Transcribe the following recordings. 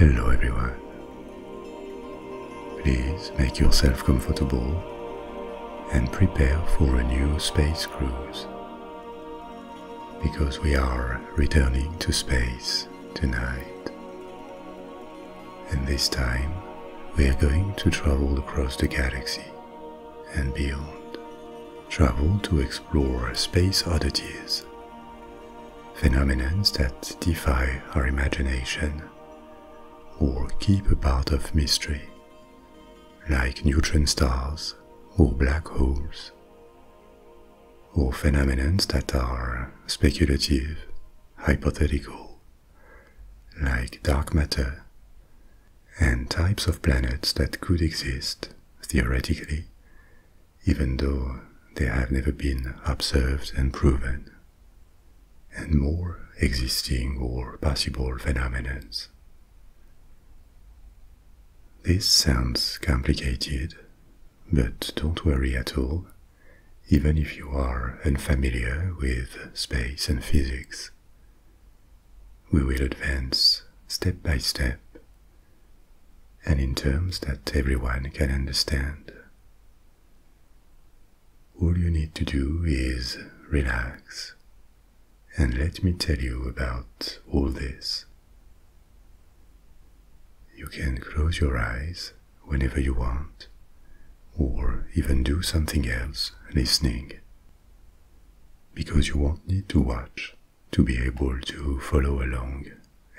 Hello everyone. Please make yourself comfortable and prepare for a new space cruise because we are returning to space tonight and this time we are going to travel across the galaxy and beyond. Travel to explore space oddities, phenomena that defy our imagination or keep a part of mystery, like neutron stars or black holes, or phenomena that are speculative, hypothetical, like dark matter, and types of planets that could exist, theoretically, even though they have never been observed and proven, and more existing or possible phenomena. This sounds complicated, but don't worry at all, even if you are unfamiliar with space and physics. We will advance step by step and in terms that everyone can understand. All you need to do is relax and let me tell you about all this. You can close your eyes whenever you want, or even do something else listening. Because you won't need to watch to be able to follow along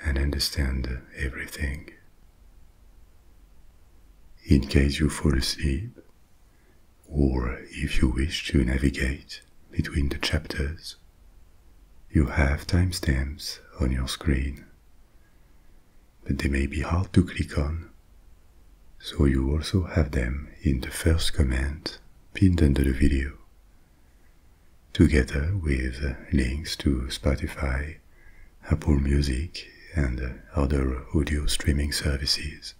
and understand everything. In case you fall asleep, or if you wish to navigate between the chapters, you have timestamps on your screen but they may be hard to click on. So you also have them in the first comment pinned under the video, together with uh, links to Spotify, Apple Music, and uh, other audio streaming services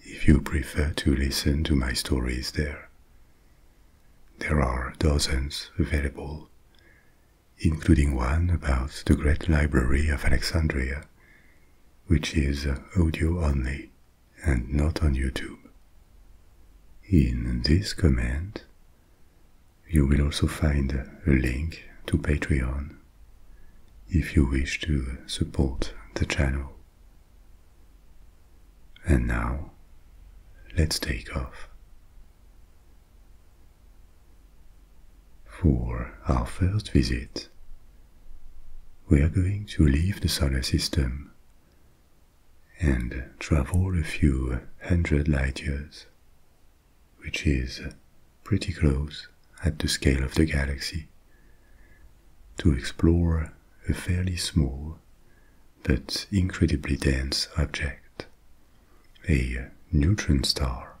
if you prefer to listen to my stories there. There are dozens available, including one about the Great Library of Alexandria, which is uh, audio only and not on YouTube. In this comment, you will also find a link to Patreon if you wish to support the channel. And now, let's take off. For our first visit, we are going to leave the solar system and travel a few hundred light years, which is pretty close at the scale of the galaxy, to explore a fairly small but incredibly dense object, a neutron star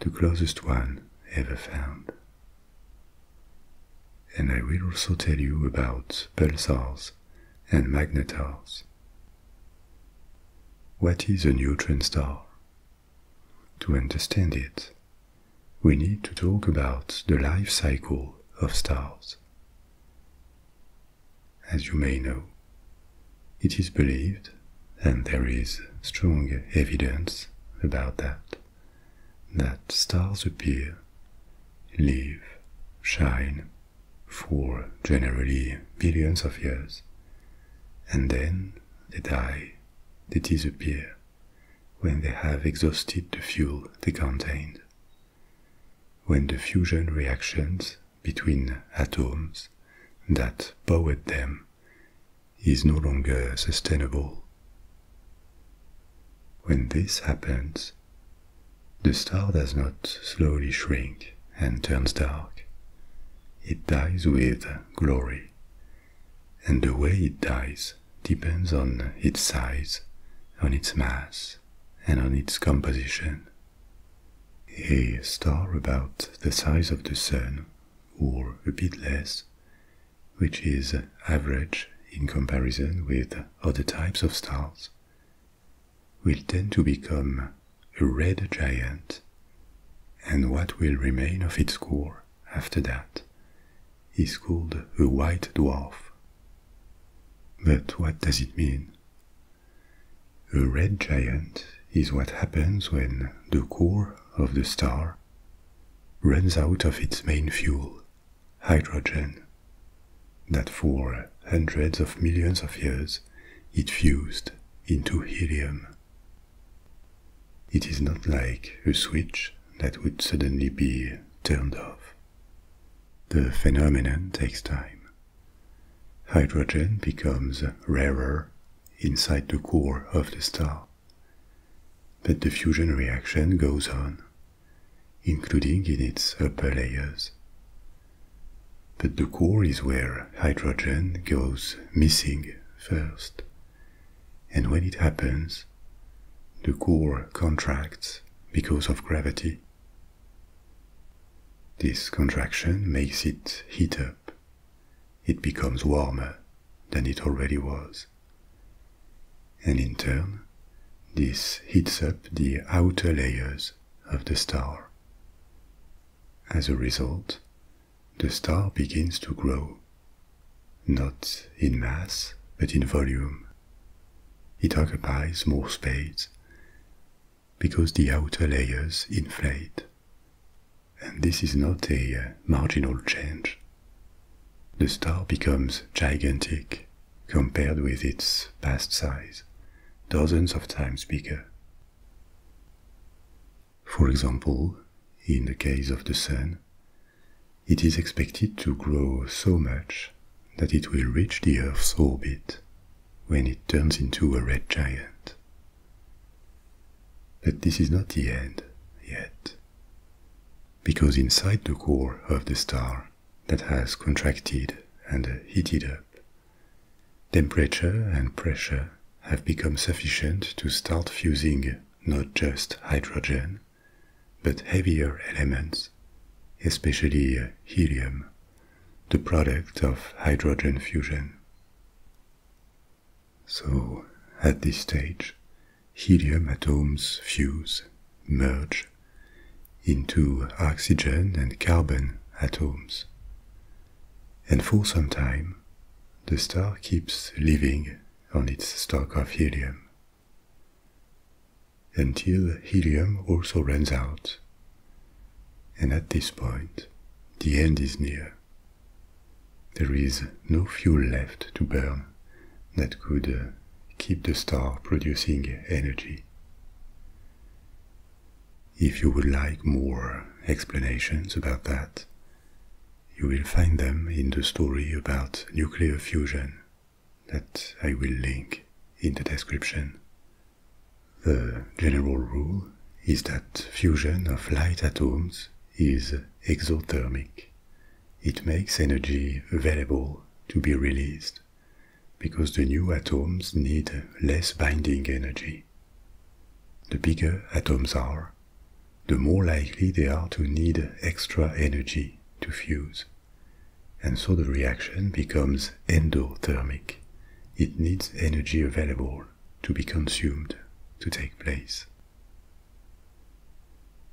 the closest one ever found. And I will also tell you about pulsars and magnetars. What is a neutron star? To understand it, we need to talk about the life cycle of stars. As you may know, it is believed, and there is strong evidence about that, that stars appear, live, shine for generally billions of years, and then they die, they disappear when they have exhausted the fuel they contained. When the fusion reactions between atoms that powered them is no longer sustainable. When this happens, the star does not slowly shrink and turns dark. It dies with glory, and the way it dies depends on its size, on its mass, and on its composition. A star about the size of the Sun or a bit less, which is average in comparison with other types of stars, will tend to become a red giant, and what will remain of its core after that is called a white dwarf. But what does it mean? A red giant is what happens when the core of the star runs out of its main fuel, hydrogen, that for hundreds of millions of years it fused into helium. It is not like a switch that would suddenly be turned off. The phenomenon takes time. Hydrogen becomes rarer inside the core of the star. that the fusion reaction goes on, including in its upper layers. But the core is where hydrogen goes missing first. And when it happens, the core contracts because of gravity. This contraction makes it heat up it becomes warmer than it already was. And in turn, this heats up the outer layers of the star. As a result, the star begins to grow, not in mass, but in volume. It occupies more space because the outer layers inflate. And this is not a uh, marginal change. The star becomes gigantic compared with its past size, dozens of times bigger. For example, in the case of the Sun, it is expected to grow so much that it will reach the Earth's orbit when it turns into a red giant, but this is not the end yet. Because inside the core of the star that has contracted and heated up, temperature and pressure have become sufficient to start fusing not just hydrogen, but heavier elements, especially helium, the product of hydrogen fusion. So, at this stage, helium atoms fuse, merge into oxygen and carbon atoms. And for some time, the star keeps living on its stock of helium. Until helium also runs out. And at this point, the end is near there is no fuel left to burn that could uh, keep the star producing energy. If you would like more explanations about that, you will find them in the story about nuclear fusion that I will link in the description. The general rule is that fusion of light atoms is exothermic. It makes energy available to be released because the new atoms need less binding energy. The bigger atoms are, the more likely they are to need extra energy to fuse. And so the reaction becomes endothermic. It needs energy available to be consumed to take place.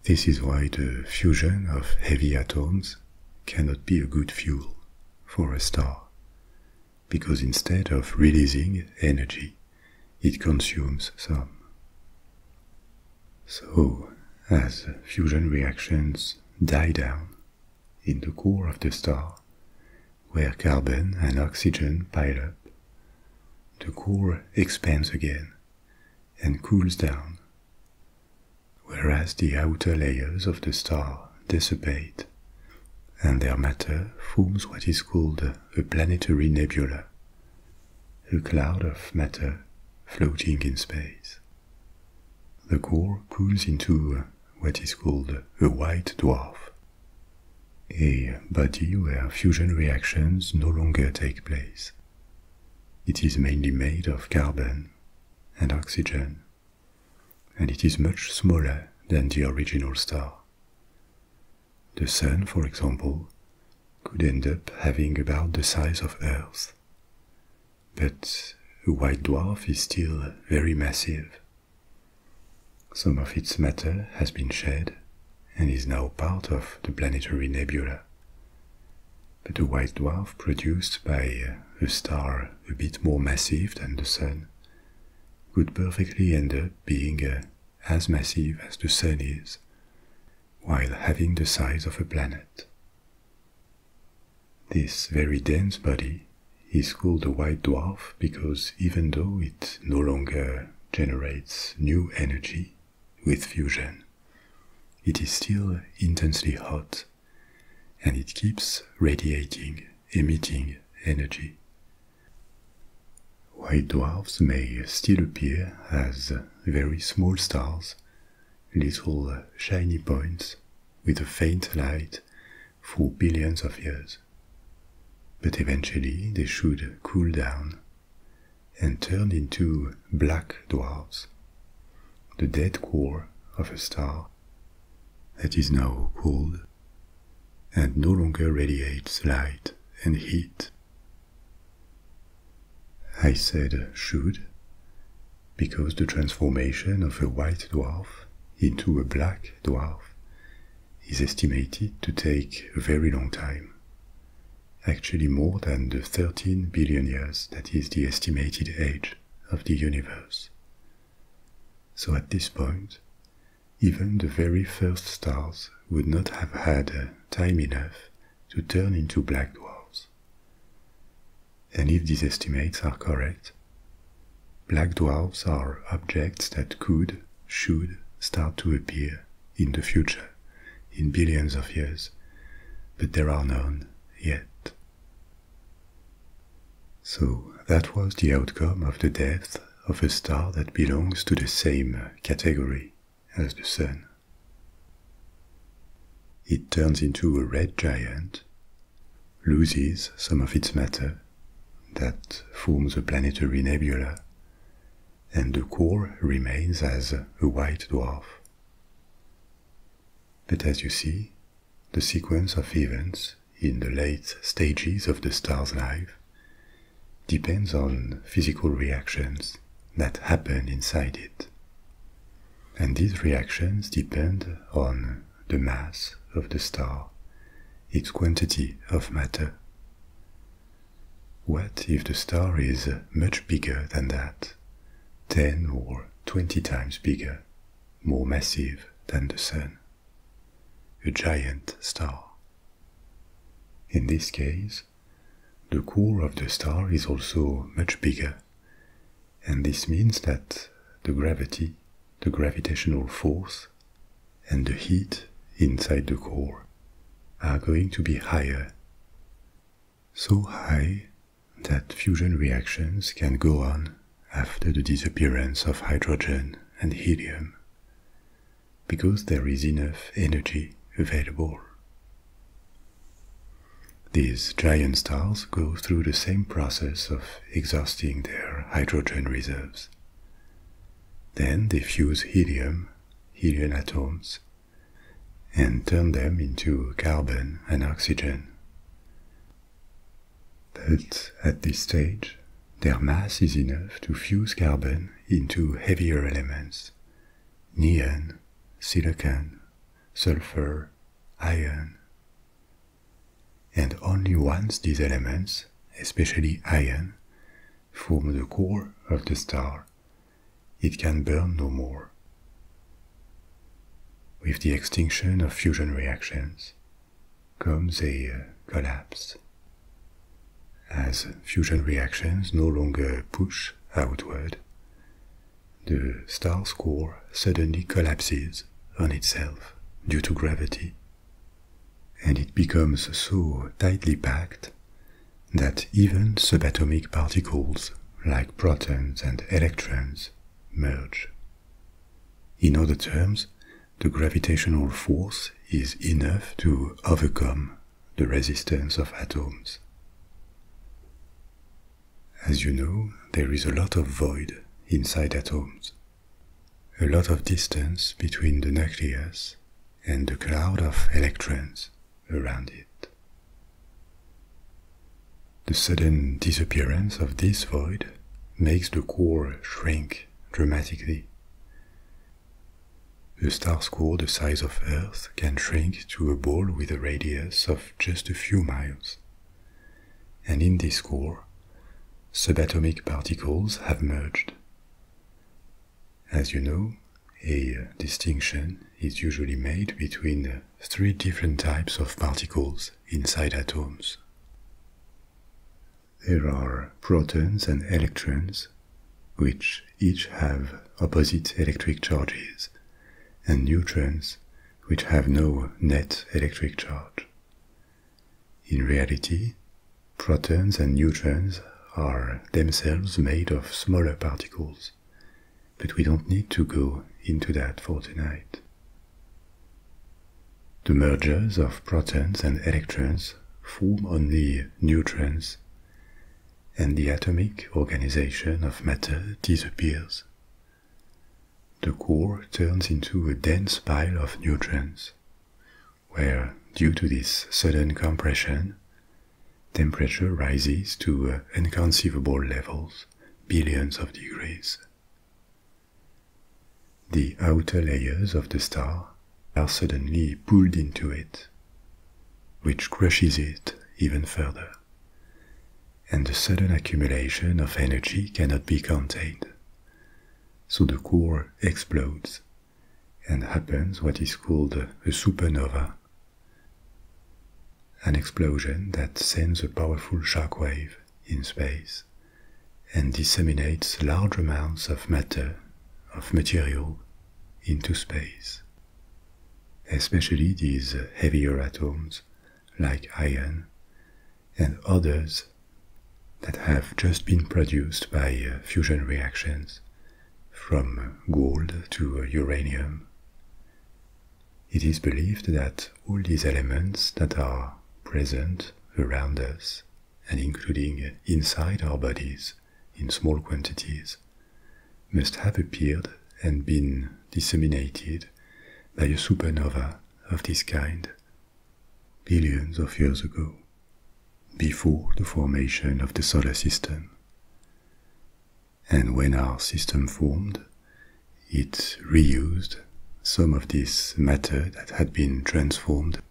This is why the fusion of heavy atoms cannot be a good fuel for a star, because instead of releasing energy, it consumes some. So, as fusion reactions die down in the core of the star, where carbon and oxygen pile up. The core expands again and cools down, whereas the outer layers of the star dissipate and their matter forms what is called a planetary nebula, a cloud of matter floating in space. The core cools into what is called a white dwarf, a body where fusion reactions no longer take place. It is mainly made of carbon and oxygen, and it is much smaller than the original star. The Sun, for example, could end up having about the size of Earth. But a white dwarf is still very massive some of its matter has been shed and is now part of the planetary nebula. But a white dwarf produced by uh, a star a bit more massive than the Sun could perfectly end up being uh, as massive as the Sun is, while having the size of a planet. This very dense body is called a white dwarf because even though it no longer generates new energy with fusion, it is still intensely hot and it keeps radiating, emitting energy. White dwarfs may still appear as very small stars, little shiny points with a faint light for billions of years. But eventually they should cool down and turn into black dwarfs, the dead core of a star that is now cold. and no longer radiates light and heat. I said should because the transformation of a white dwarf into a black dwarf is estimated to take a very long time. Actually, more than the 13 billion years that is the estimated age of the universe. So at this point, even the very first stars would not have had uh, time enough to turn into black dwarfs. And if these estimates are correct, Black dwarfs are objects that could, should start to appear in the future, in billions of years, but there are none yet. So that was the outcome of the death of a star that belongs to the same category as the Sun. It turns into a red giant, loses some of its matter, that forms a planetary nebula, and the core remains as a white dwarf. But as you see, the sequence of events in the late stages of the star's life depends on physical reactions that happen inside it. And these reactions depend on the mass of the star its quantity of matter. What if the star is much bigger than that, 10 or 20 times bigger, more massive than the Sun? A giant star. In this case, the core of the star is also much bigger, and this means that the gravity, the gravitational force and the heat inside the core are going to be higher. So high that fusion reactions can go on after the disappearance of hydrogen and helium because there is enough energy available. These giant stars go through the same process of exhausting their hydrogen reserves. Then they fuse helium, helium atoms, and turn them into carbon and oxygen. But at this stage, their mass is enough to fuse carbon into heavier elements neon, silicon, sulfur, iron and only once these elements, especially iron, form the core of the star, it can burn no more. With the extinction of fusion reactions comes a uh, collapse. As fusion reactions no longer push outward, the star's core suddenly collapses on itself due to gravity and it becomes so tightly packed that even subatomic particles like protons and electrons merge. In other terms, the gravitational force is enough to overcome the resistance of atoms. As you know, there is a lot of void inside atoms, a lot of distance between the nucleus and the cloud of electrons around it. The sudden disappearance of this void makes the core shrink dramatically. A star's core the size of Earth can shrink to a ball with a radius of just a few miles. And in this core, subatomic particles have merged as you know, a uh, distinction is usually made between uh, three different types of particles inside atoms. There are protons and electrons, which each have opposite electric charges, and neutrons, which have no net electric charge. In reality, protons and neutrons are themselves made of smaller particles, but we don't need to go into that for tonight. The mergers of protons and electrons form only neutrons, and the atomic organization of matter disappears. The core turns into a dense pile of neutrons, where, due to this sudden compression, temperature rises to uh, inconceivable levels, billions of degrees. The outer layers of the star are suddenly pulled into it, which crushes it even further, and the sudden accumulation of energy cannot be contained so the core explodes and happens what is called a supernova, an explosion that sends a powerful shockwave in space and disseminates large amounts of matter, of material, into space. Especially these heavier atoms, like iron, and others that have just been produced by uh, fusion reactions, from gold to uh, uranium. It is believed that all these elements that are present around us, and including inside our bodies in small quantities, must have appeared and been disseminated by a supernova of this kind billions of years ago, before the formation of the solar system. And when our system formed, it reused some of this matter that had been transformed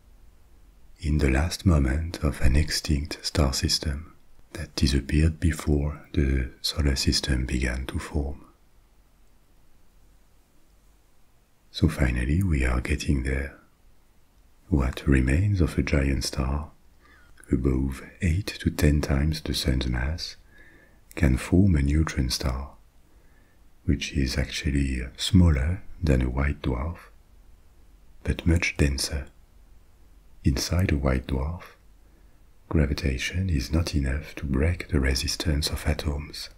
in the last moment of an extinct star system that disappeared before the solar system began to form. So finally, we are getting there. What remains of a giant star, above 8 to 10 times the Sun's mass, can form a neutron star, which is actually smaller than a white dwarf, but much denser. Inside a white dwarf, gravitation is not enough to break the resistance of atoms,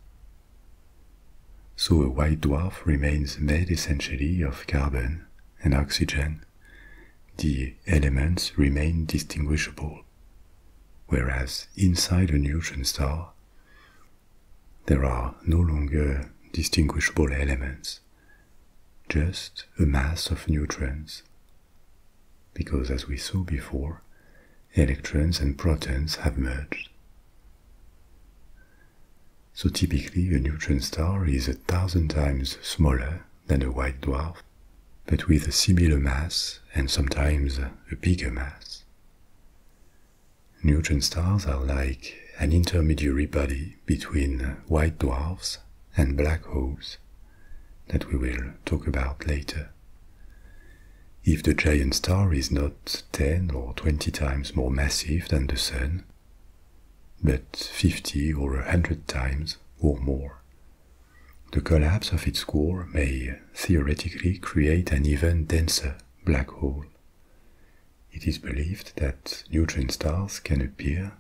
so a white dwarf remains made essentially of carbon and oxygen. The elements remain distinguishable. Whereas inside a neutron star, there are no longer distinguishable elements, just a mass of neutrons. Because as we saw before, electrons and protons have merged. So typically a neutron star is a thousand times smaller than a white dwarf, but with a similar mass and sometimes a bigger mass. Neutron stars are like an intermediary body between white dwarfs and black holes that we will talk about later. If the giant star is not 10 or 20 times more massive than the Sun, but 50 or a 100 times or more. The collapse of its core may theoretically create an even denser black hole. It is believed that neutron stars can appear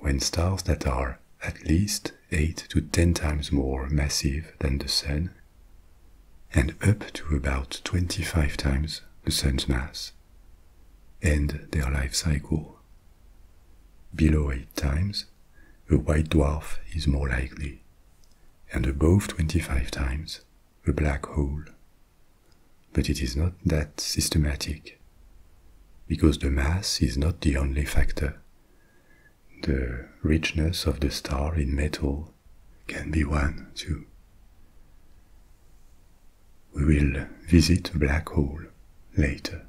when stars that are at least 8 to 10 times more massive than the Sun and up to about 25 times the Sun's mass, end their life cycle. Below 8 times, a white dwarf is more likely, and above 25 times, a black hole. But it is not that systematic, because the mass is not the only factor. The richness of the star in metal can be one too. We will visit black hole later,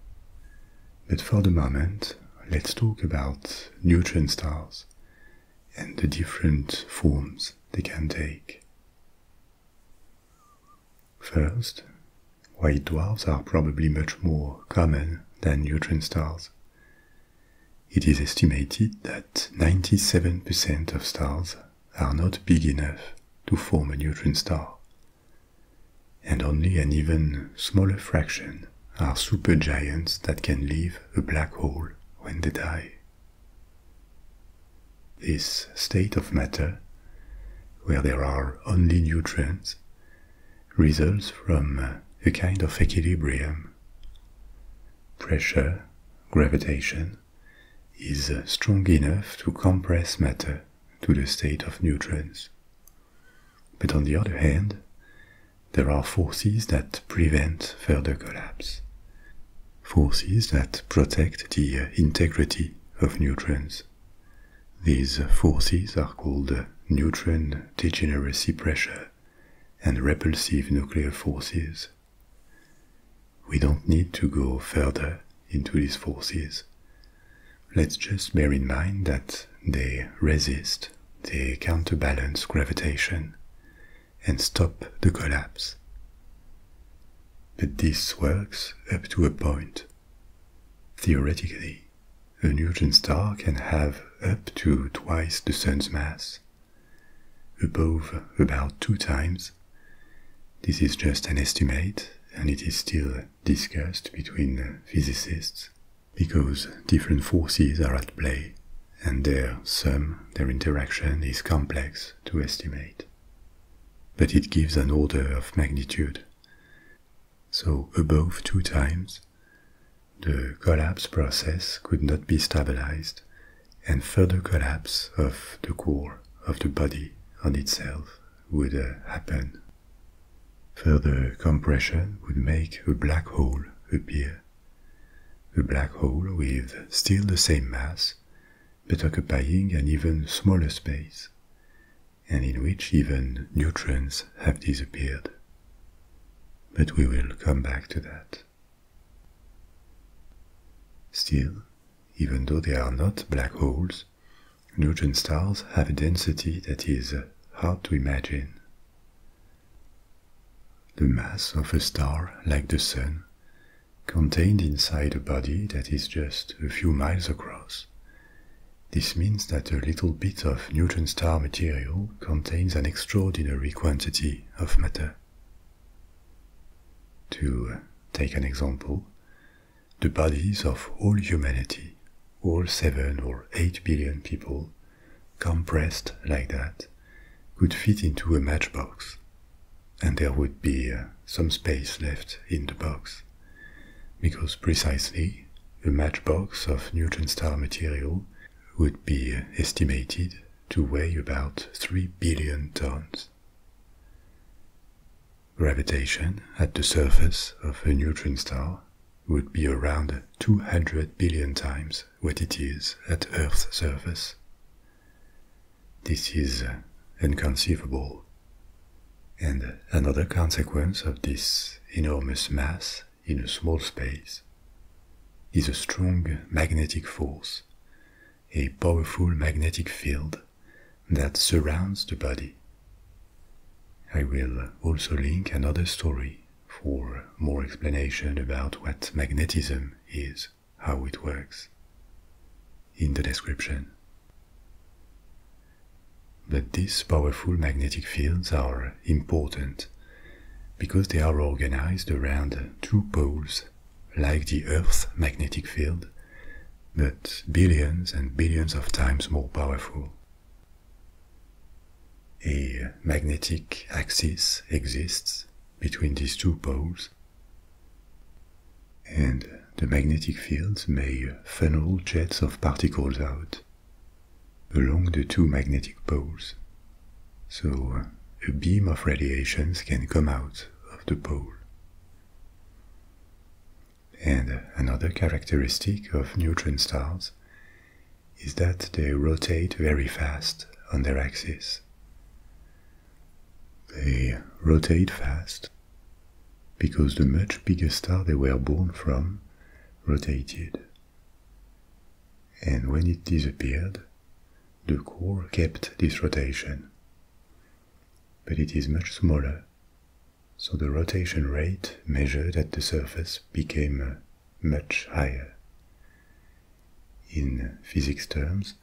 but for the moment, let's talk about neutron stars and the different forms they can take. First, white dwarfs are probably much more common than neutron stars, it is estimated that 97% of stars are not big enough to form a neutron star, and only an even smaller fraction are supergiants that can leave a black hole when they die. This state of matter, where there are only neutrons, results from a kind of equilibrium Pressure, gravitation, is uh, strong enough to compress matter to the state of neutrons. But on the other hand, there are forces that prevent further collapse, forces that protect the uh, integrity of neutrons. These uh, forces are called neutron degeneracy pressure and repulsive nuclear forces. We don't need to go further into these forces. Let's just bear in mind that they resist, they counterbalance gravitation, and stop the collapse. But this works up to a point. Theoretically, a neutron star can have up to twice the Sun's mass above about two times. This is just an estimate and it is still discussed between physicists because different forces are at play and their sum, their interaction is complex to estimate. But it gives an order of magnitude. So above two times, the collapse process could not be stabilized, and further collapse of the core of the body on itself would uh, happen. Further compression would make a black hole appear. A black hole with still the same mass, but occupying an even smaller space, and in which even neutrons have disappeared. But we will come back to that. Still, even though they are not black holes, neutron stars have a density that is hard to imagine. The mass of a star like the Sun, contained inside a body that is just a few miles across, this means that a little bit of neutron star material contains an extraordinary quantity of matter. To take an example, the bodies of all humanity, all 7 or 8 billion people, compressed like that, could fit into a matchbox, and there would be uh, some space left in the box, because precisely the matchbox of neutron star material would be uh, estimated to weigh about 3 billion tons. Gravitation at the surface of a neutron star would be around 200 billion times what it is at Earth's surface. This is inconceivable. And another consequence of this enormous mass in a small space is a strong magnetic force, a powerful magnetic field that surrounds the body. I will also link another story for more explanation about what magnetism is, how it works, in the description. But these powerful magnetic fields are important because they are organized around two poles, like the Earth's magnetic field, but billions and billions of times more powerful. A magnetic axis exists between these two poles, and the magnetic fields may funnel jets of particles out along the two magnetic poles so uh, a beam of radiations can come out of the pole. And another characteristic of neutron stars is that they rotate very fast on their axis. They rotate fast because the much bigger star they were born from rotated and when it disappeared, the core kept this rotation. But it is much smaller, so the rotation rate measured at the surface became uh, much higher. In physics terms,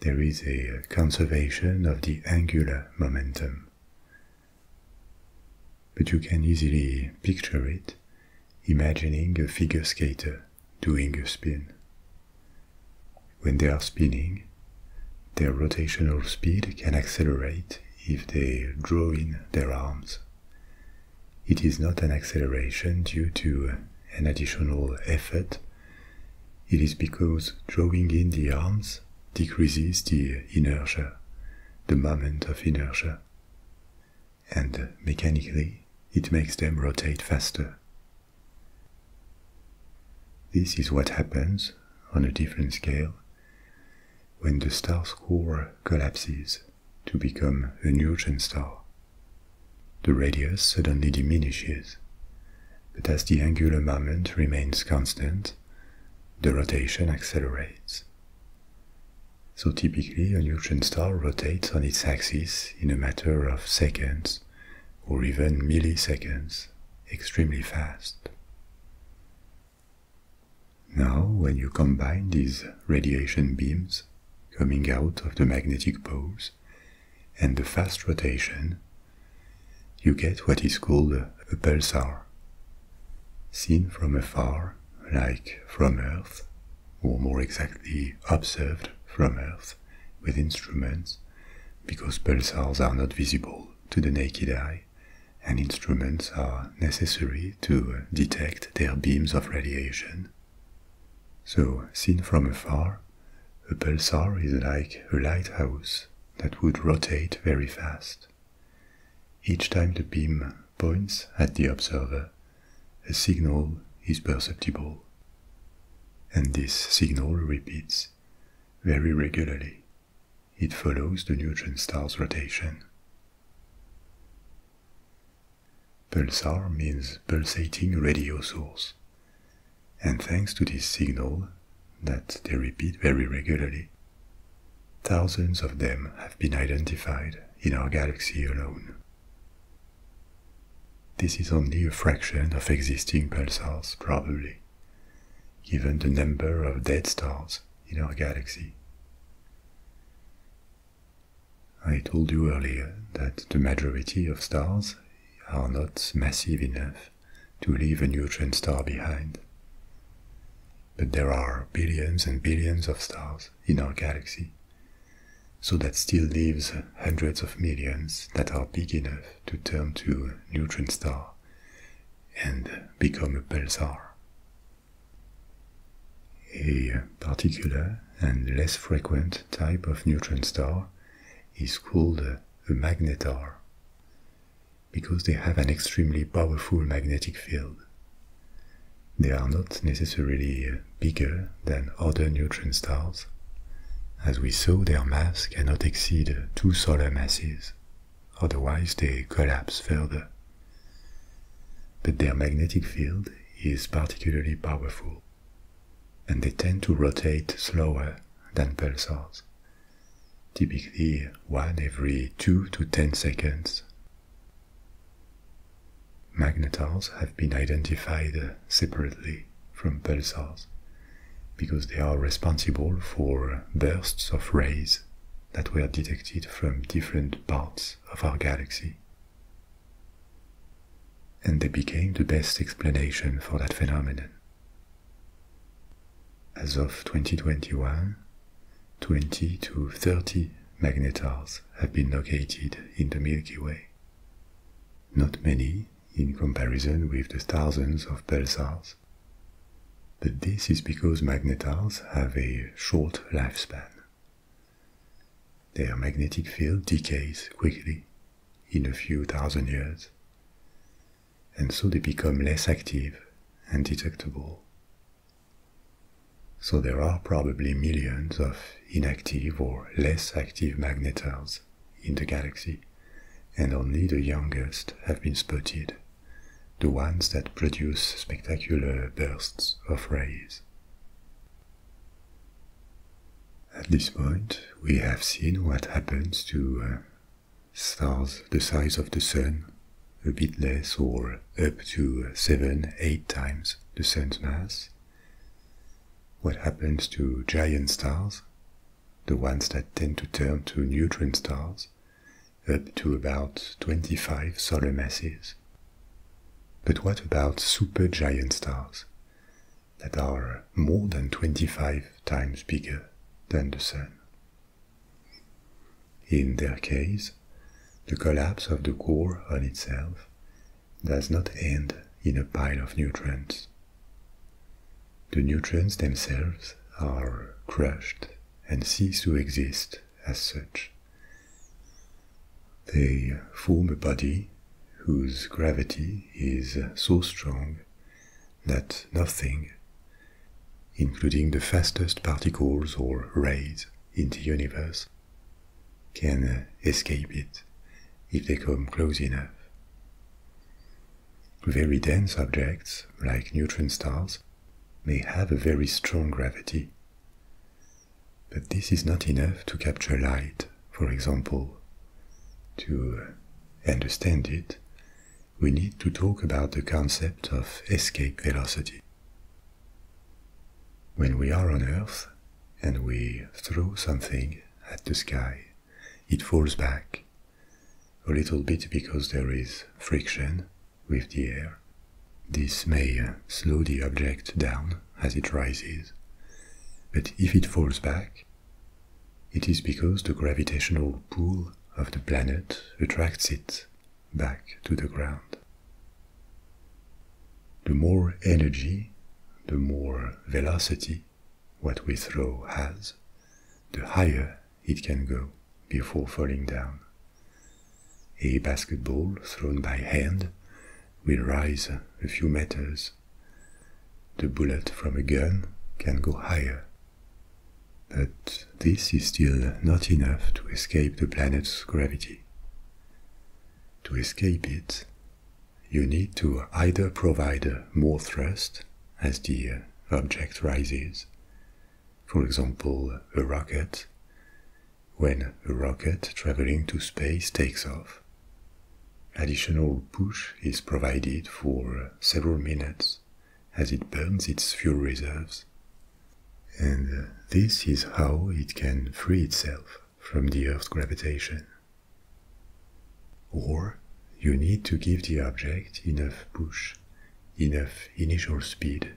there is a uh, conservation of the angular momentum. But you can easily picture it imagining a figure skater doing a spin. When they are spinning, their rotational speed can accelerate if they draw in their arms. It is not an acceleration due to an additional effort. It is because drawing in the arms decreases the inertia, the moment of inertia and mechanically it makes them rotate faster. This is what happens on a different scale when the star's core collapses to become a neutron star. The radius suddenly diminishes, but as the angular momentum remains constant, the rotation accelerates. So typically, a neutron star rotates on its axis in a matter of seconds or even milliseconds, extremely fast. Now, when you combine these radiation beams coming out of the magnetic poles and the fast rotation, you get what is called a pulsar. Seen from afar, like from Earth, or more exactly observed from Earth with instruments, because pulsars are not visible to the naked eye, and instruments are necessary to uh, detect their beams of radiation. So, seen from afar, a pulsar is like a lighthouse that would rotate very fast. Each time the beam points at the observer, a signal is perceptible. And this signal repeats very regularly. It follows the neutron star's rotation. Pulsar means pulsating radio source. And thanks to this signal that they repeat very regularly, thousands of them have been identified in our galaxy alone. This is only a fraction of existing pulsars, probably, given the number of dead stars in our galaxy. I told you earlier that the majority of stars are not massive enough to leave a neutron star behind. But there are billions and billions of stars in our galaxy. So that still leaves hundreds of millions that are big enough to turn to neutron star and become a pulsar. A particular and less frequent type of neutron star is called a magnetar because they have an extremely powerful magnetic field. They are not necessarily uh, bigger than other neutron stars. As we saw, their mass cannot exceed two solar masses, otherwise they collapse further. But their magnetic field is particularly powerful, and they tend to rotate slower than pulsars, typically one every two to ten seconds Magnetars have been identified separately from pulsars because they are responsible for bursts of rays that were detected from different parts of our galaxy. And they became the best explanation for that phenomenon. As of 2021, 20 to 30 magnetars have been located in the Milky Way. Not many, in comparison with the thousands of pulsars. But this is because magnetars have a short lifespan. Their magnetic field decays quickly, in a few thousand years, and so they become less active and detectable so there are probably millions of inactive or less active magnetars in the galaxy, and only the youngest have been spotted, the ones that produce spectacular bursts of rays. At this point, we have seen what happens to uh, stars the size of the Sun, a bit less or up to 7-8 times the Sun's mass, what happens to giant stars, the ones that tend to turn to neutron stars, up to about 25 solar masses? But what about supergiant stars that are more than 25 times bigger than the Sun? In their case, the collapse of the core on itself does not end in a pile of neutrons. The neutrons themselves are crushed and cease to exist as such. They form a body whose gravity is so strong that nothing, including the fastest particles or rays in the universe, can uh, escape it if they come close enough. Very dense objects, like neutron stars, may have a very strong gravity. But this is not enough to capture light, for example. To uh, understand it, we need to talk about the concept of escape velocity. When we are on Earth and we throw something at the sky, it falls back a little bit because there is friction with the air. This may uh, slow the object down as it rises, but if it falls back, it is because the gravitational pull of the planet attracts it back to the ground the more energy, the more velocity what we throw has, the higher it can go before falling down. A basketball thrown by hand will rise a few meters. The bullet from a gun can go higher. But this is still not enough to escape the planet's gravity. To escape it, you need to either provide more thrust as the object rises, for example, a rocket, when a rocket traveling to space takes off. Additional push is provided for several minutes as it burns its fuel reserves. And this is how it can free itself from the Earth's gravitation. Or you need to give the object enough push, enough initial speed,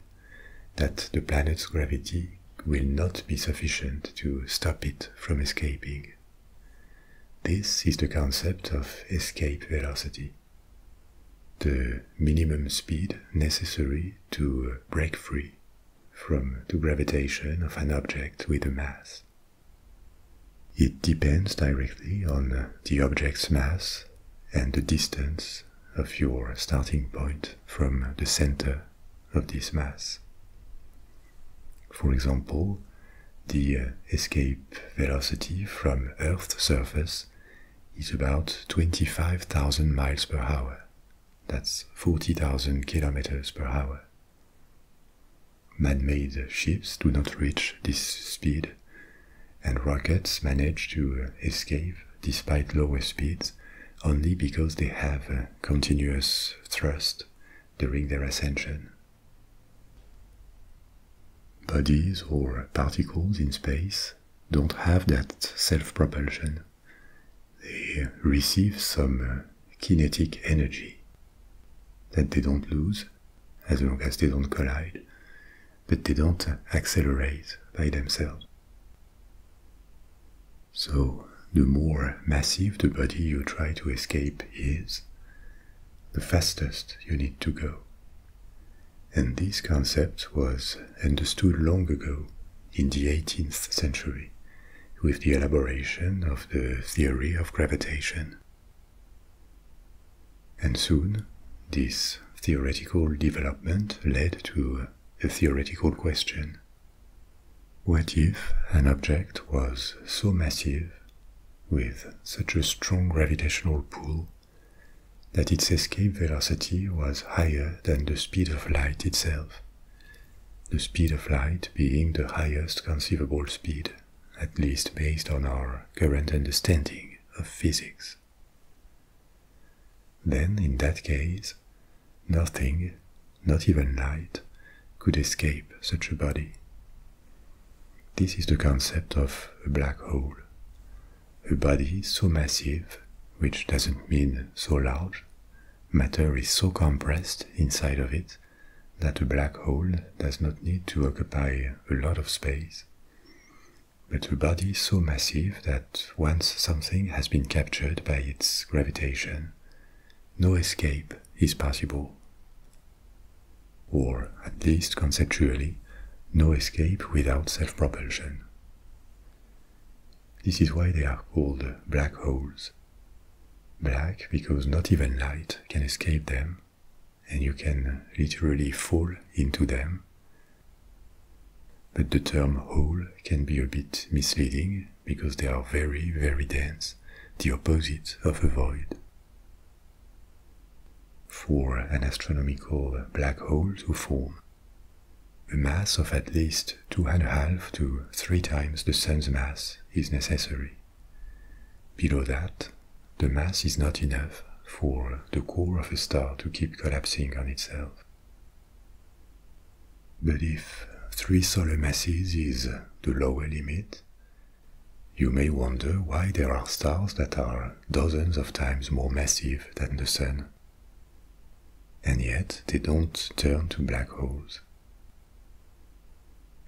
that the planet's gravity will not be sufficient to stop it from escaping. This is the concept of escape velocity, the minimum speed necessary to break free from the gravitation of an object with a mass. It depends directly on the object's mass and the distance of your starting point from the center of this mass. For example, the escape velocity from Earth's surface is about 25,000 miles per hour that's 40,000 kilometers per hour. Man-made ships do not reach this speed, and rockets manage to uh, escape despite lower speeds only because they have continuous thrust during their ascension. Bodies or particles in space don't have that self-propulsion they receive some uh, kinetic energy that they don't lose as long as they don't collide, but they don't accelerate by themselves. So, the more massive the body you try to escape is, the fastest you need to go. And this concept was understood long ago in the 18th century with the elaboration of the theory of gravitation. And soon, this theoretical development led to a theoretical question. What if an object was so massive, with such a strong gravitational pull, that its escape velocity was higher than the speed of light itself, the speed of light being the highest conceivable speed, at least based on our current understanding of physics. Then, in that case, nothing, not even light, could escape such a body. This is the concept of a black hole, a body so massive, which doesn't mean so large, matter is so compressed inside of it that a black hole does not need to occupy a lot of space. But a body so massive that once something has been captured by its gravitation, no escape is possible. Or, at least conceptually, no escape without self-propulsion. This is why they are called black holes. Black because not even light can escape them, and you can literally fall into them. But the term hole can be a bit misleading because they are very, very dense, the opposite of a void. For an astronomical black hole to form, a mass of at least two and a half to three times the Sun's mass is necessary. Below that, the mass is not enough for the core of a star to keep collapsing on itself. But if three solar masses is the lower limit, you may wonder why there are stars that are dozens of times more massive than the Sun. And yet they don't turn to black holes.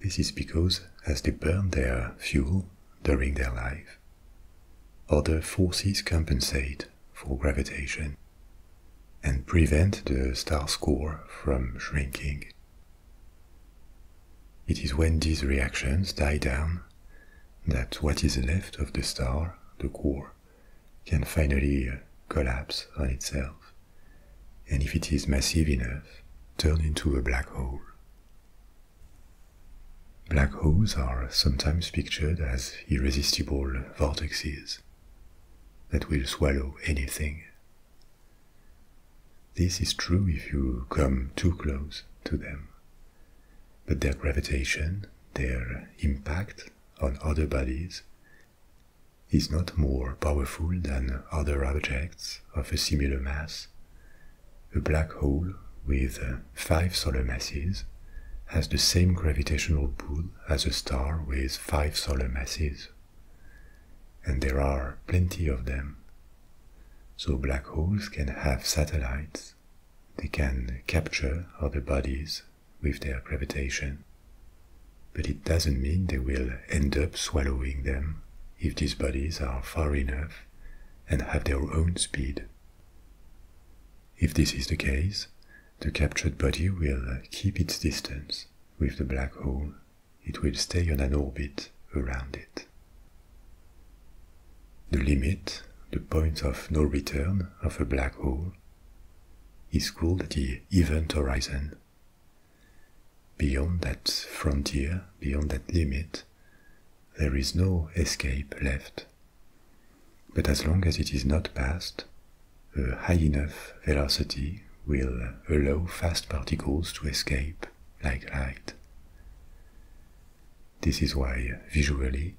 This is because as they burn their fuel during their life, other forces compensate for gravitation and prevent the star's core from shrinking. It is when these reactions die down that what is left of the star, the core, can finally collapse on itself, and if it is massive enough, turn into a black hole. Black holes are sometimes pictured as irresistible vortexes that will swallow anything. This is true if you come too close to them, but their gravitation, their impact on other bodies, is not more powerful than other objects of a similar mass, a black hole with uh, five solar masses has the same gravitational pull as a star with five solar masses. And there are plenty of them. So black holes can have satellites, they can capture other bodies with their gravitation. But it doesn't mean they will end up swallowing them if these bodies are far enough and have their own speed. If this is the case, the captured body will keep its distance with the black hole. It will stay on an orbit around it. The limit, the point of no return of a black hole, is called the event horizon. Beyond that frontier, beyond that limit, there is no escape left. But as long as it is not passed, a high enough velocity will allow fast particles to escape like light. This is why, visually,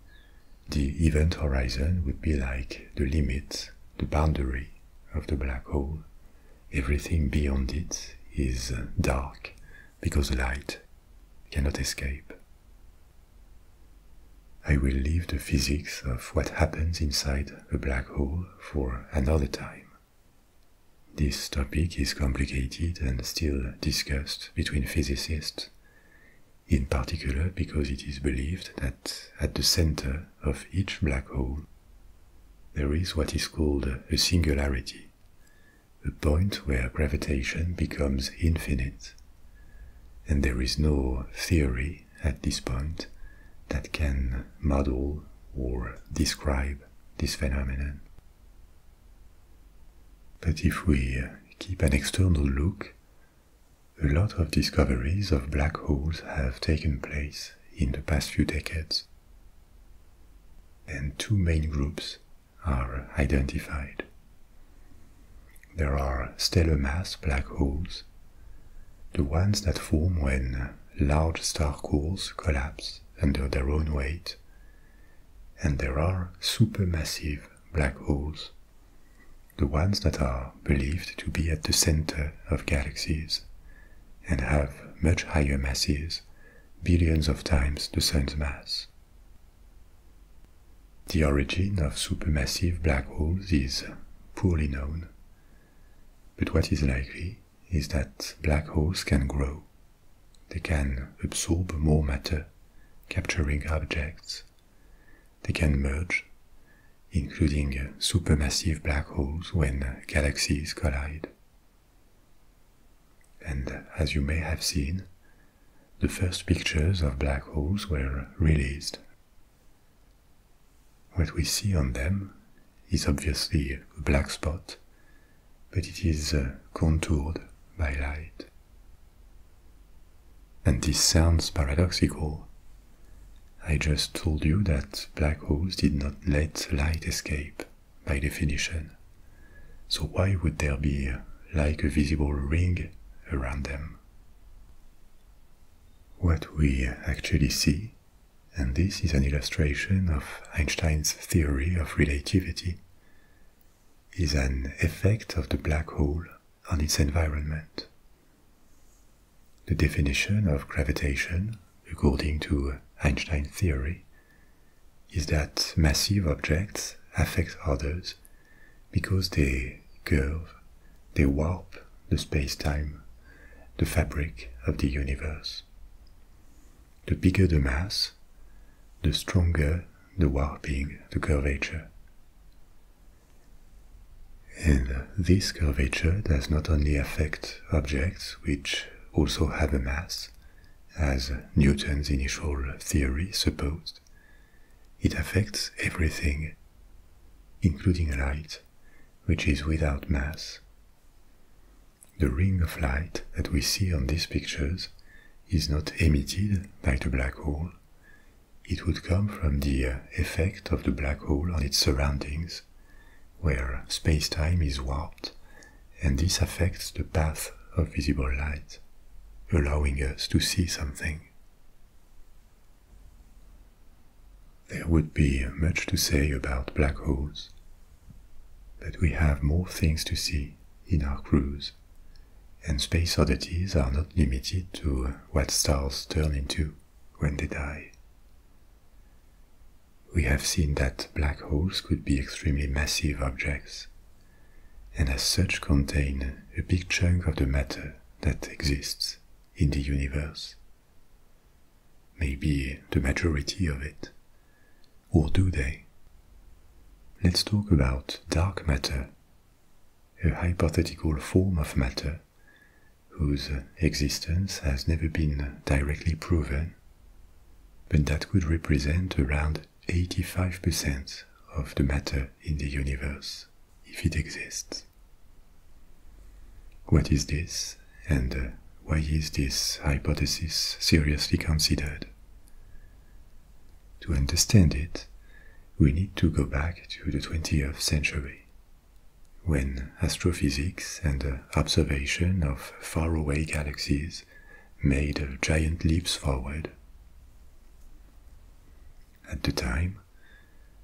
the event horizon would be like the limit, the boundary of the black hole. Everything beyond it is uh, dark because light cannot escape. I will leave the physics of what happens inside a black hole for another time. This topic is complicated and still discussed between physicists, in particular because it is believed that at the center of each black hole there is what is called a singularity, a point where gravitation becomes infinite, and there is no theory at this point that can model or describe this phenomenon. But if we keep an external look a lot of discoveries of black holes have taken place in the past few decades. And two main groups are identified. There are stellar mass black holes, the ones that form when large star cores collapse under their own weight, and there are supermassive black holes the ones that are believed to be at the center of galaxies and have much higher masses, billions of times the Sun's mass. The origin of supermassive black holes is poorly known, but what is likely is that black holes can grow. They can absorb more matter, capturing objects they can merge, including supermassive black holes when galaxies collide. And as you may have seen, the first pictures of black holes were released. What we see on them is obviously a black spot, but it is uh, contoured by light. And this sounds paradoxical. I just told you that black holes did not let light escape, by definition. So why would there be like a visible ring around them? What we actually see, and this is an illustration of Einstein's theory of relativity, is an effect of the black hole on its environment. The definition of gravitation, according to Einstein's theory, is that massive objects affect others because they curve, they warp the space time, the fabric of the universe. The bigger the mass, the stronger the warping, the curvature. And this curvature does not only affect objects which also have a mass, as Newton's initial theory supposed, it affects everything, including light, which is without mass. The ring of light that we see on these pictures is not emitted by the black hole, it would come from the uh, effect of the black hole on its surroundings, where space-time is warped, and this affects the path of visible light, allowing us to see something. There would be much to say about black holes, but we have more things to see in our cruise, and space oddities are not limited to uh, what stars turn into when they die. We have seen that black holes could be extremely massive objects, and as such contain a big chunk of the matter that exists in the universe. Maybe the majority of it. Or do they? Let's talk about dark matter, a hypothetical form of matter whose existence has never been directly proven, but that would represent around 85% of the matter in the universe, if it exists. What is this, and why is this hypothesis seriously considered? To understand it, we need to go back to the 20th century, when astrophysics and observation of faraway galaxies made giant leaps forward. At the time,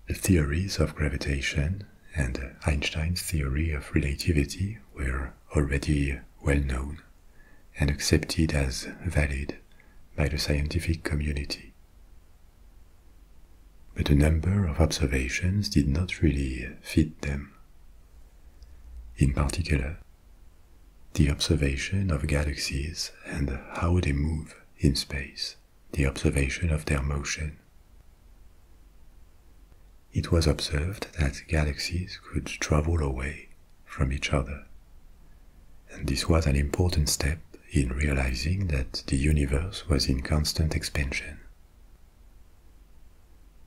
the theories of gravitation and Einstein's theory of relativity were already well known and accepted as valid by the scientific community. But a number of observations did not really fit them. In particular, the observation of galaxies and how they move in space, the observation of their motion. It was observed that galaxies could travel away from each other and this was an important step in realizing that the universe was in constant expansion.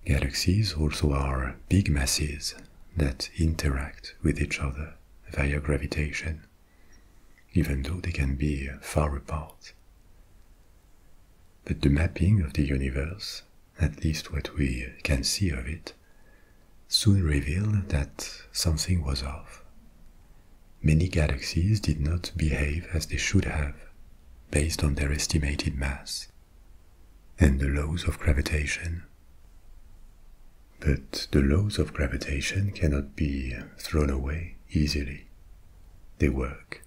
Galaxies also are big masses that interact with each other via gravitation, even though they can be far apart. But the mapping of the universe, at least what we can see of it, soon revealed that something was off many galaxies did not behave as they should have, based on their estimated mass and the laws of gravitation. But the laws of gravitation cannot be thrown away easily. They work,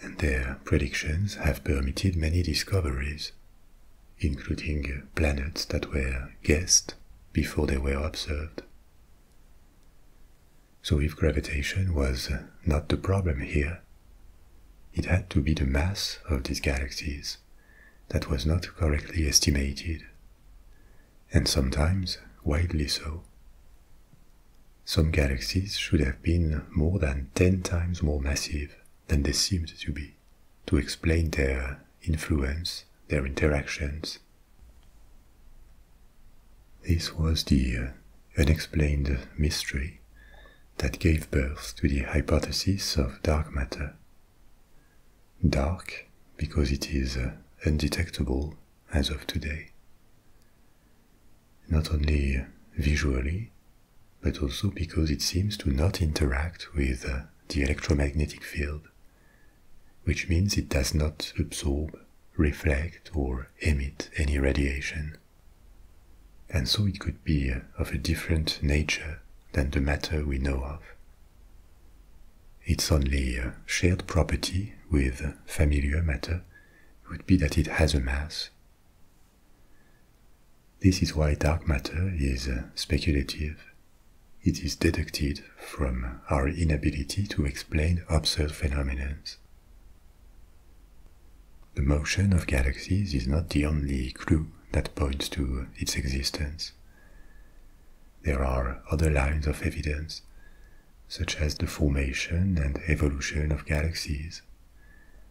and their predictions have permitted many discoveries, including planets that were guessed before they were observed so if gravitation was uh, not the problem here, it had to be the mass of these galaxies that was not correctly estimated, and sometimes widely so. Some galaxies should have been more than 10 times more massive than they seemed to be to explain their influence their interactions. This was the uh, unexplained mystery that gave birth to the hypothesis of dark matter. Dark because it is uh, undetectable as of today. Not only visually, but also because it seems to not interact with uh, the electromagnetic field which means it does not absorb, reflect, or emit any radiation. And so it could be uh, of a different nature than the matter we know of. Its only uh, shared property with familiar matter would be that it has a mass. This is why dark matter is uh, speculative it is deducted from our inability to explain observed phenomena. The motion of galaxies is not the only clue that points to its existence. There are other lines of evidence, such as the formation and evolution of galaxies,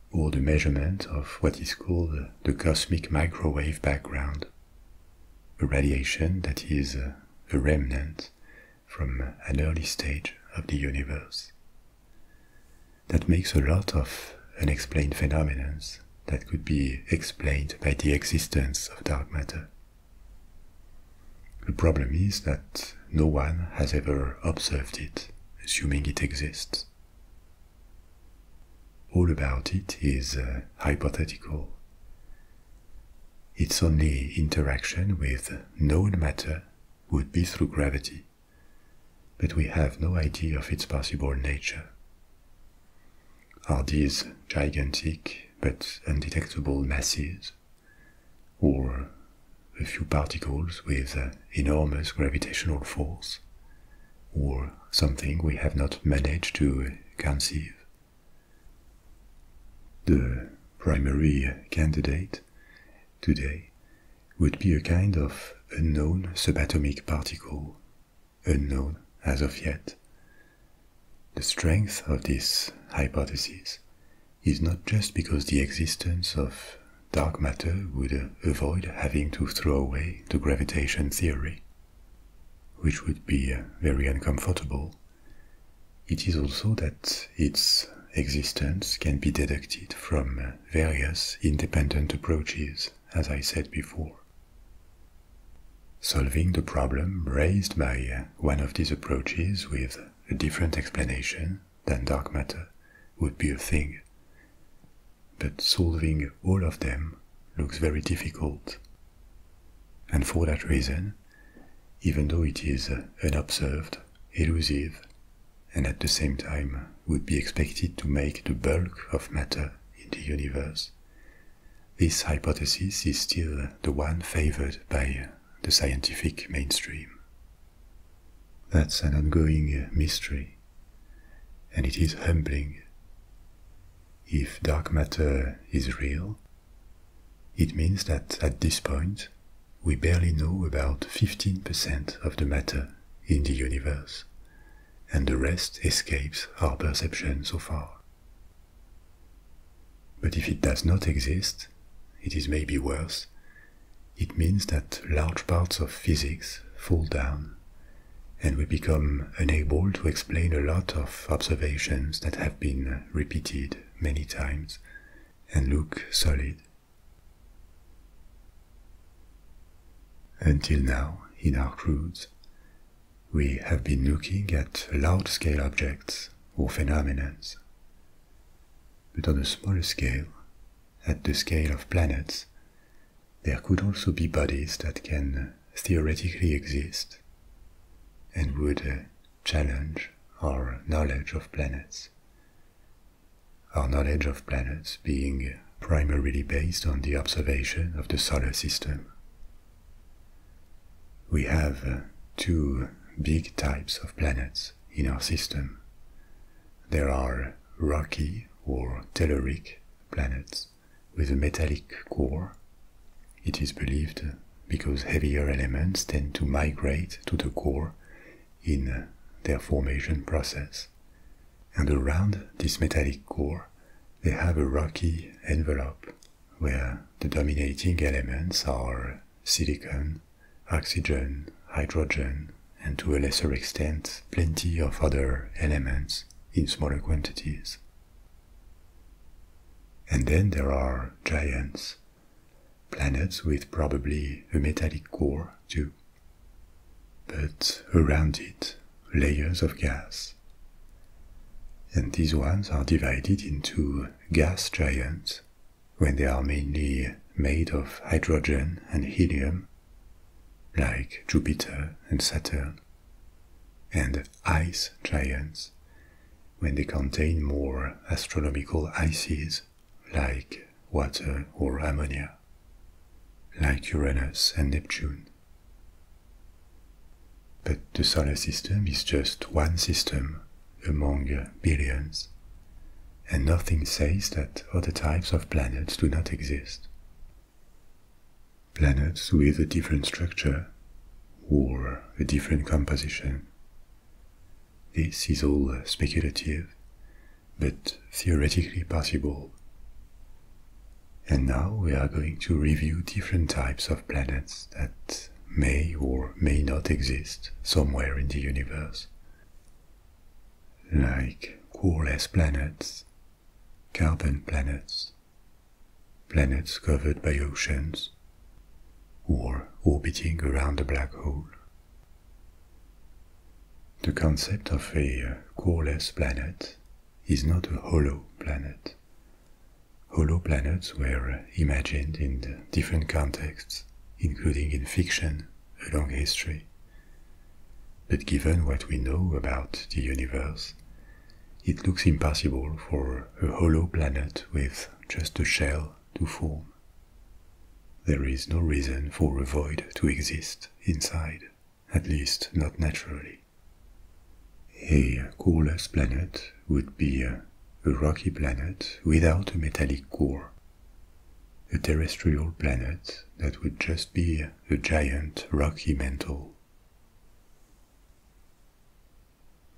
or the measurement of what is called the cosmic microwave background, a radiation that is a remnant from an early stage of the universe. That makes a lot of unexplained phenomena that could be explained by the existence of dark matter. The problem is that no one has ever observed it, assuming it exists. All about it is uh, hypothetical, its only interaction with known matter would be through gravity, but we have no idea of its possible nature. Are these gigantic but undetectable masses, or a few particles with enormous gravitational force, or something we have not managed to conceive? The primary candidate today would be a kind of unknown subatomic particle, unknown as of yet. The strength of this hypothesis is not just because the existence of dark matter would avoid having to throw away the gravitation theory, which would be very uncomfortable, it is also that its existence can be deducted from various independent approaches, as I said before. Solving the problem raised by one of these approaches with a different explanation than dark matter would be a thing, but solving all of them looks very difficult and for that reason, even though it is unobserved, elusive, and at the same time would be expected to make the bulk of matter in the universe, this hypothesis is still the one favored by the scientific mainstream. That's an ongoing mystery, and it is humbling. If dark matter is real, it means that at this point, we barely know about 15% of the matter in the universe, and the rest escapes our perception so far. But if it does not exist, it is maybe worse, it means that large parts of physics fall down and we become am unable to explain a lot of observations that have been repeated many times and look solid. Until now, in our cruise, we have been looking at large-scale objects or phenomena, but on a smaller scale, at the scale of planets, there could also be bodies that can theoretically exist and would uh, challenge our knowledge of planets. Our knowledge of planets being primarily based on the observation of the solar system. We have uh, two big types of planets in our system. There are rocky or telluric planets with a metallic core. It is believed because heavier elements tend to migrate to the core in their formation process. And around this metallic core, they have a rocky envelope where the dominating elements are silicon, oxygen, hydrogen, and to a lesser extent, plenty of other elements in smaller quantities. And then there are giants, planets with probably a metallic core too. But around it, layers of gas. And these ones are divided into gas giants when they are mainly made of hydrogen and helium, like Jupiter and Saturn and ice giants when they contain more astronomical ices like water or ammonia, like Uranus and Neptune. But the solar system is just one system among billions, and nothing says that other types of planets do not exist planets with a different structure or a different composition. This is all speculative, but theoretically possible. And now we are going to review different types of planets that may or may not exist somewhere in the universe. Like coreless planets, carbon planets, planets covered by oceans, or orbiting around a black hole. The concept of a coreless planet is not a hollow planet. Hollow planets were imagined in different contexts, including in fiction a long history. But given what we know about the universe, it looks impossible for a hollow planet with just a shell to form. There is no reason for a void to exist inside, at least not naturally. A coreless planet would be a rocky planet without a metallic core, a terrestrial planet that would just be a giant rocky mantle.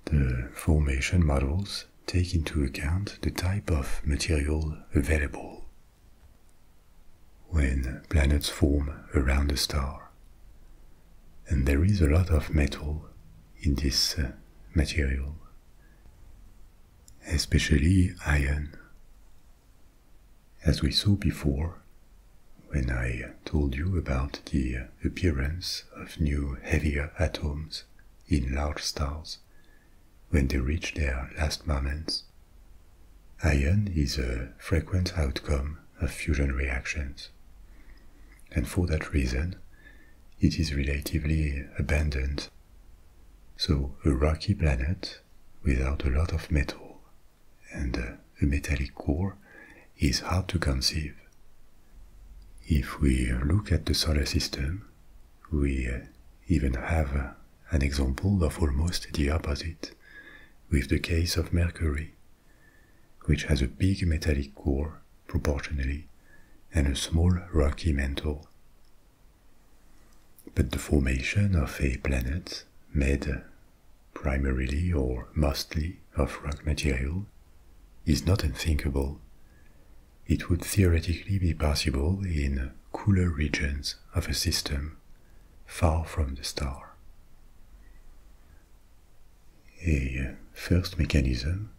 The formation models take into account the type of material available. When planets form around a star, and there is a lot of metal in this uh, material, especially iron. As we saw before, when I told you about the appearance of new heavier atoms in large stars when they reach their last moments, iron is a frequent outcome of fusion reactions. And for that reason, it is relatively abundant. So, a rocky planet without a lot of metal and a uh, metallic core is hard to conceive. If we look at the solar system, we uh, even have uh, an example of almost the opposite with the case of Mercury, which has a big metallic core proportionally and a small rocky mantle. But the formation of a planet made primarily or mostly of rock material, is not unthinkable. It would theoretically be possible in cooler regions of a system far from the star. A first mechanism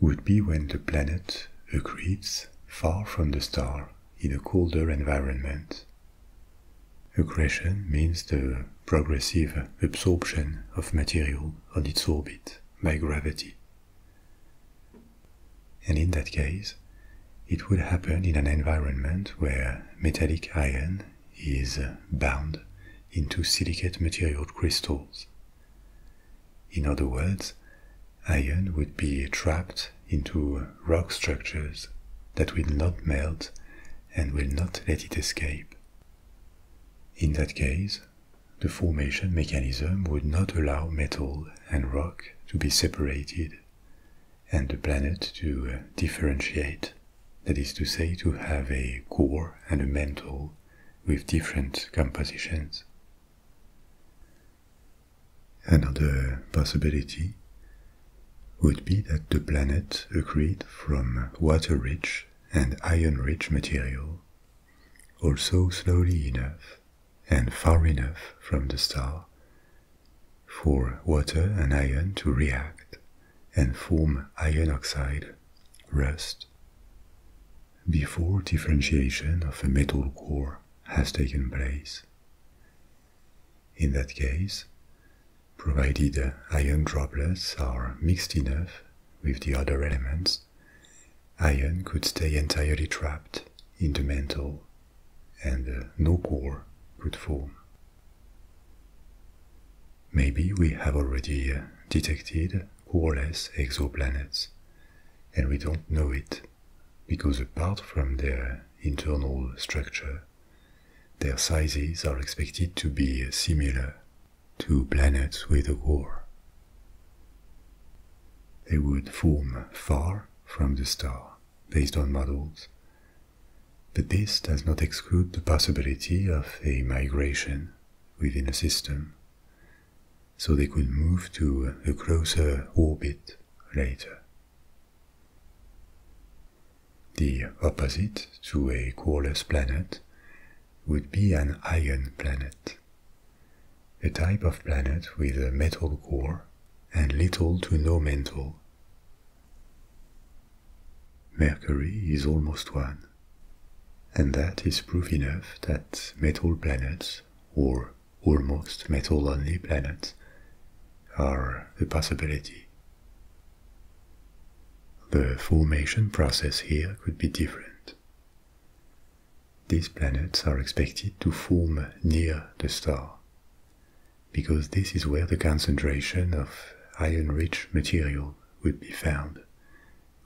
would be when the planet accretes far from the star in a colder environment Accretion means the progressive absorption of material on its orbit by gravity. And in that case, it would happen in an environment where metallic iron is bound into silicate material crystals. In other words, iron would be trapped into rock structures that will not melt and will not let it escape. In that case, the formation mechanism would not allow metal and rock to be separated and the planet to uh, differentiate, that is to say, to have a core and a mantle with different compositions. Another possibility would be that the planet accreted from water-rich and iron-rich material, also slowly enough and far enough from the star for water and iron to react and form iron oxide, rust, before differentiation of a metal core has taken place. In that case, provided iron droplets are mixed enough with the other elements, iron could stay entirely trapped in the mantle and uh, no core could form. Maybe we have already uh, detected coreless exoplanets, and we don't know it, because apart from their internal structure, their sizes are expected to be similar to planets with a core. They would form far from the star based on models, but this does not exclude the possibility of a migration within a system, so they could move to a closer orbit later. The opposite to a coreless planet would be an iron planet, a type of planet with a metal core and little to no mantle. Mercury is almost one, and that is proof enough that metal planets, or almost metal only planets, are a possibility. The formation process here could be different. These planets are expected to form near the star, because this is where the concentration of iron-rich material would be found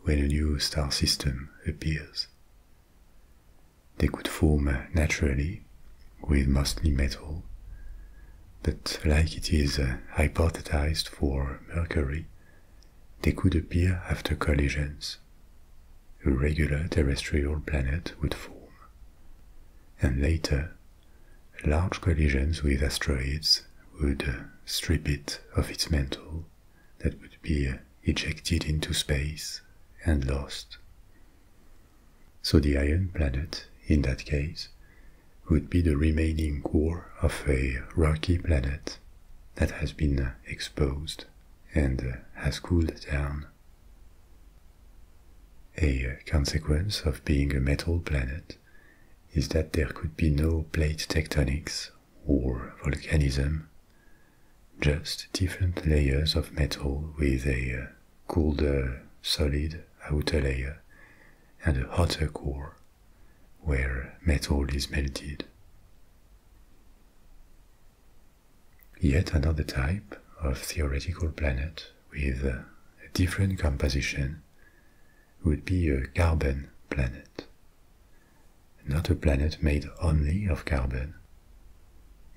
when a new star system appears. They could form naturally, with mostly metal, but like it is uh, hypothesized for Mercury, they could appear after collisions. A regular terrestrial planet would form. And later, large collisions with asteroids would uh, strip it of its mantle that would be uh, ejected into space and lost. So the iron planet, in that case, would be the remaining core of a rocky planet that has been exposed and has cooled down. A consequence of being a metal planet is that there could be no plate tectonics or volcanism, just different layers of metal with a colder solid outer layer and a hotter core, where metal is melted. Yet another type of theoretical planet with a different composition would be a carbon planet. Not a planet made only of carbon,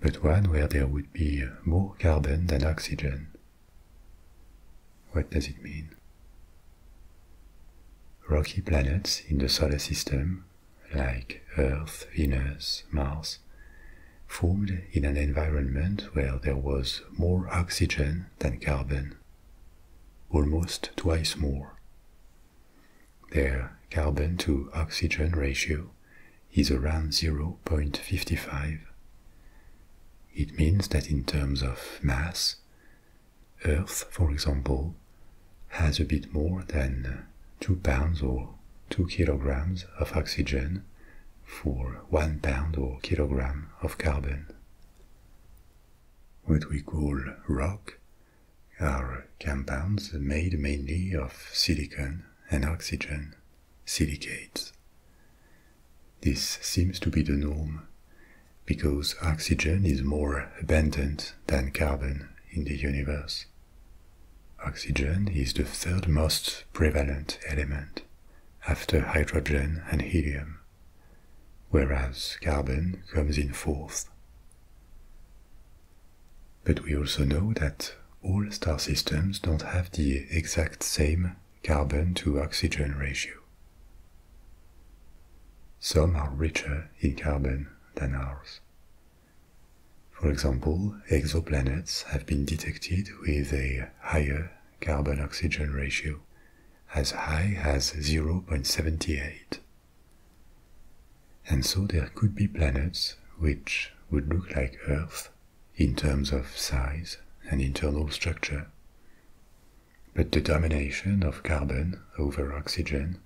but one where there would be more carbon than oxygen what does it mean? Rocky planets in the solar system, like Earth, Venus, Mars, formed in an environment where there was more oxygen than carbon, almost twice more. Their carbon to oxygen ratio is around 0.55, it means that in terms of mass, Earth, for example, has a bit more than 2 pounds or 2 kilograms of oxygen for 1 pound or kilogram of carbon. What we call rock are compounds made mainly of silicon and oxygen, silicates. This seems to be the norm because oxygen is more abundant than carbon in the universe. Oxygen is the third most prevalent element after hydrogen and helium, whereas carbon comes in fourth. But we also know that all star systems don't have the exact same carbon to oxygen ratio. Some are richer in carbon than ours. For example, exoplanets have been detected with a higher carbon oxygen ratio, as high as 0.78. And so there could be planets which would look like Earth in terms of size and internal structure, but the domination of carbon over oxygen,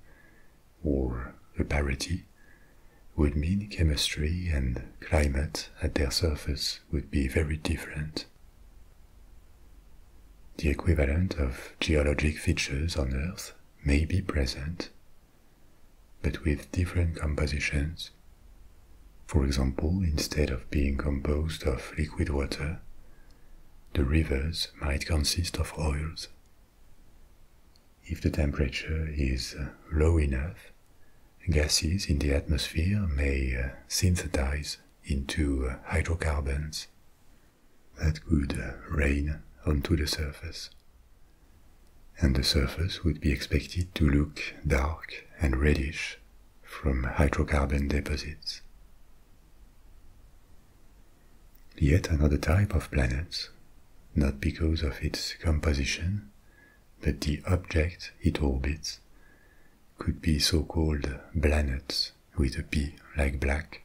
or the parity, would mean chemistry and climate at their surface would be very different. The equivalent of geologic features on Earth may be present, but with different compositions for example, instead of being composed of liquid water, the rivers might consist of oils. If the temperature is uh, low enough, gases in the atmosphere may uh, synthesize into uh, hydrocarbons that could rain onto the surface. And the surface would be expected to look dark and reddish from hydrocarbon deposits. Yet another type of planet, not because of its composition, but the object it orbits, could be so-called planets with a P like black,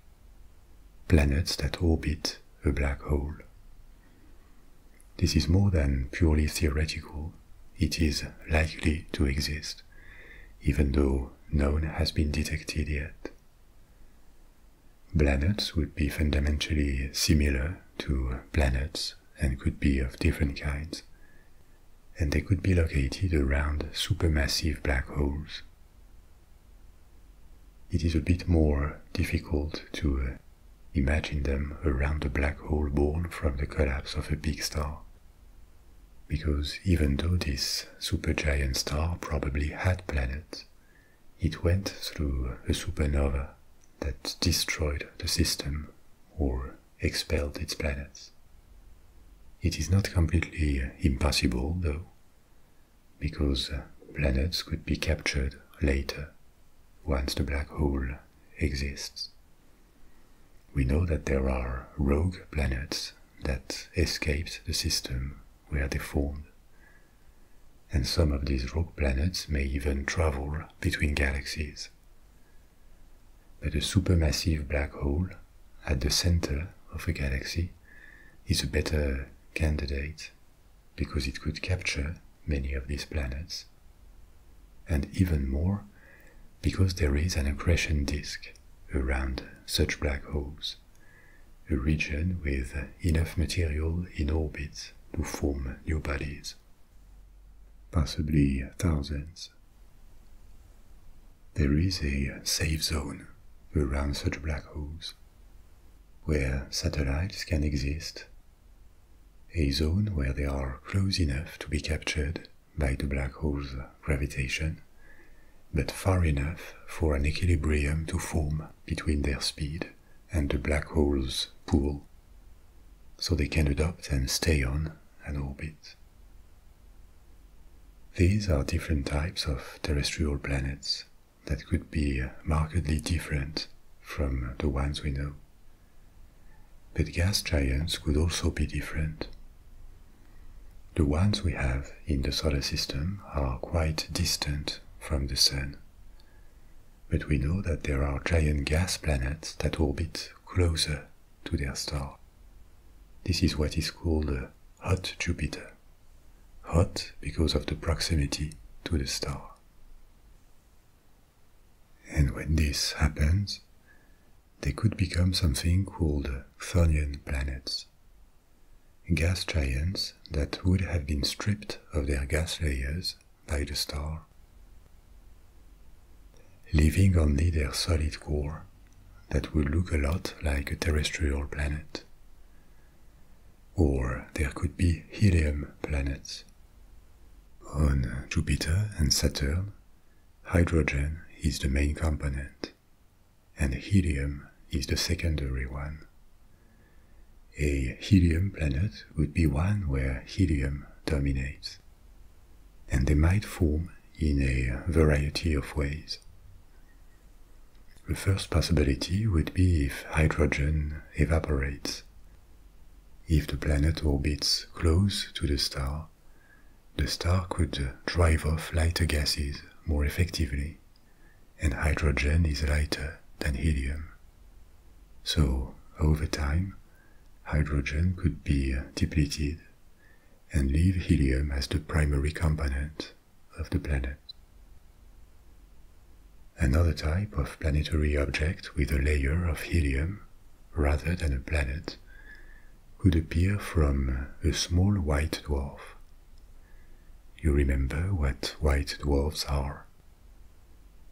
planets that orbit a black hole. This is more than purely theoretical it is likely to exist, even though none has been detected yet. Planets would be fundamentally similar to planets and could be of different kinds, and they could be located around supermassive black holes. It is a bit more difficult to uh, imagine them around a black hole born from the collapse of a big star because even though this supergiant star probably had planets, it went through a supernova that destroyed the system or expelled its planets. It is not completely impossible, though, because planets could be captured later, once the black hole exists, we know that there are rogue planets that escaped the system where they formed. And some of these rogue planets may even travel between galaxies. But a supermassive black hole at the center of a galaxy is a better candidate because it could capture many of these planets and even more because there is an accretion disk around such black holes, a region with enough material in orbit to form new bodies, possibly thousands. There is a safe zone around such black holes where satellites can exist, a zone where they are close enough to be captured by the black hole's gravitation, but far enough for an equilibrium to form between their speed and the black hole's pull, so they can adopt and stay on an orbit. These are different types of terrestrial planets that could be markedly different from the ones we know but gas giants could also be different. The ones we have in the solar system are quite distant from the Sun. But we know that there are giant gas planets that orbit closer to their star. This is what is called a hot Jupiter. Hot because of the proximity to the star. And when this happens, they could become something called Thorian planets, gas giants that would have been stripped of their gas layers by the star. Leaving only their solid core that would look a lot like a terrestrial planet. Or there could be helium planets. On Jupiter and Saturn, hydrogen is the main component, and helium is the secondary one. A helium planet would be one where helium dominates, and they might form in a variety of ways. The first possibility would be if hydrogen evaporates. If the planet orbits close to the star, the star could drive off lighter gases more effectively, and hydrogen is lighter than helium. So, over time, hydrogen could be depleted and leave helium as the primary component of the planet. Another type of planetary object with a layer of helium rather than a planet, would appear from a small white dwarf. You remember what white dwarfs are.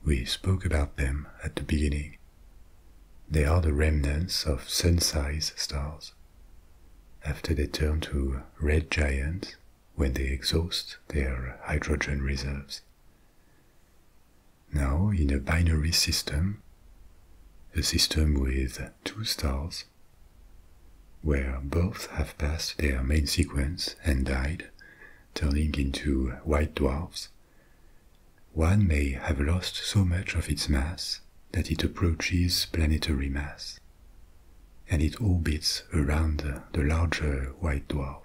We spoke about them at the beginning. They are the remnants of sun-sized stars. After they turn to red giants, when they exhaust their hydrogen reserves now in a binary system, a system with two stars, where both have passed their main sequence and died, turning into white dwarfs, one may have lost so much of its mass that it approaches planetary mass, and it orbits around the larger white dwarf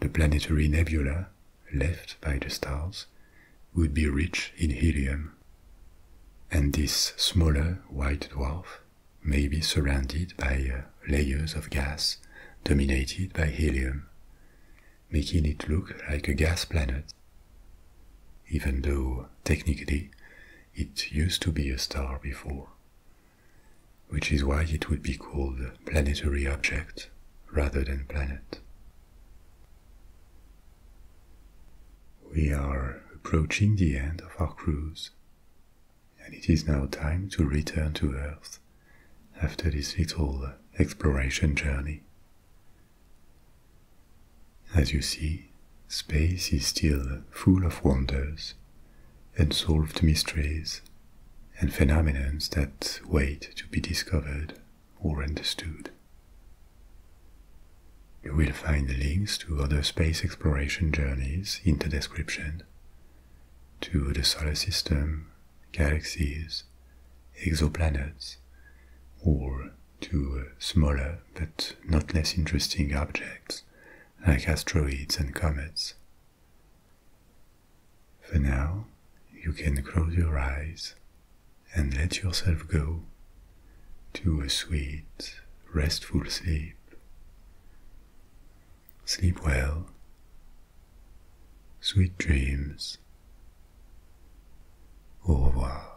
the planetary nebula left by the stars would be rich in helium. And this smaller white dwarf may be surrounded by uh, layers of gas dominated by helium, making it look like a gas planet. Even though technically it used to be a star before, which is why it would be called planetary object rather than planet. We are approaching the end of our cruise, and it is now time to return to Earth after this little exploration journey. As you see, space is still full of wonders, unsolved mysteries, and phenomena that wait to be discovered or understood. You will find links to other space exploration journeys in the description, to the solar system, galaxies, exoplanets, or to smaller but not less interesting objects like asteroids and comets. For now, you can close your eyes and let yourself go to a sweet, restful sleep. Sleep well. Sweet dreams. Au revoir.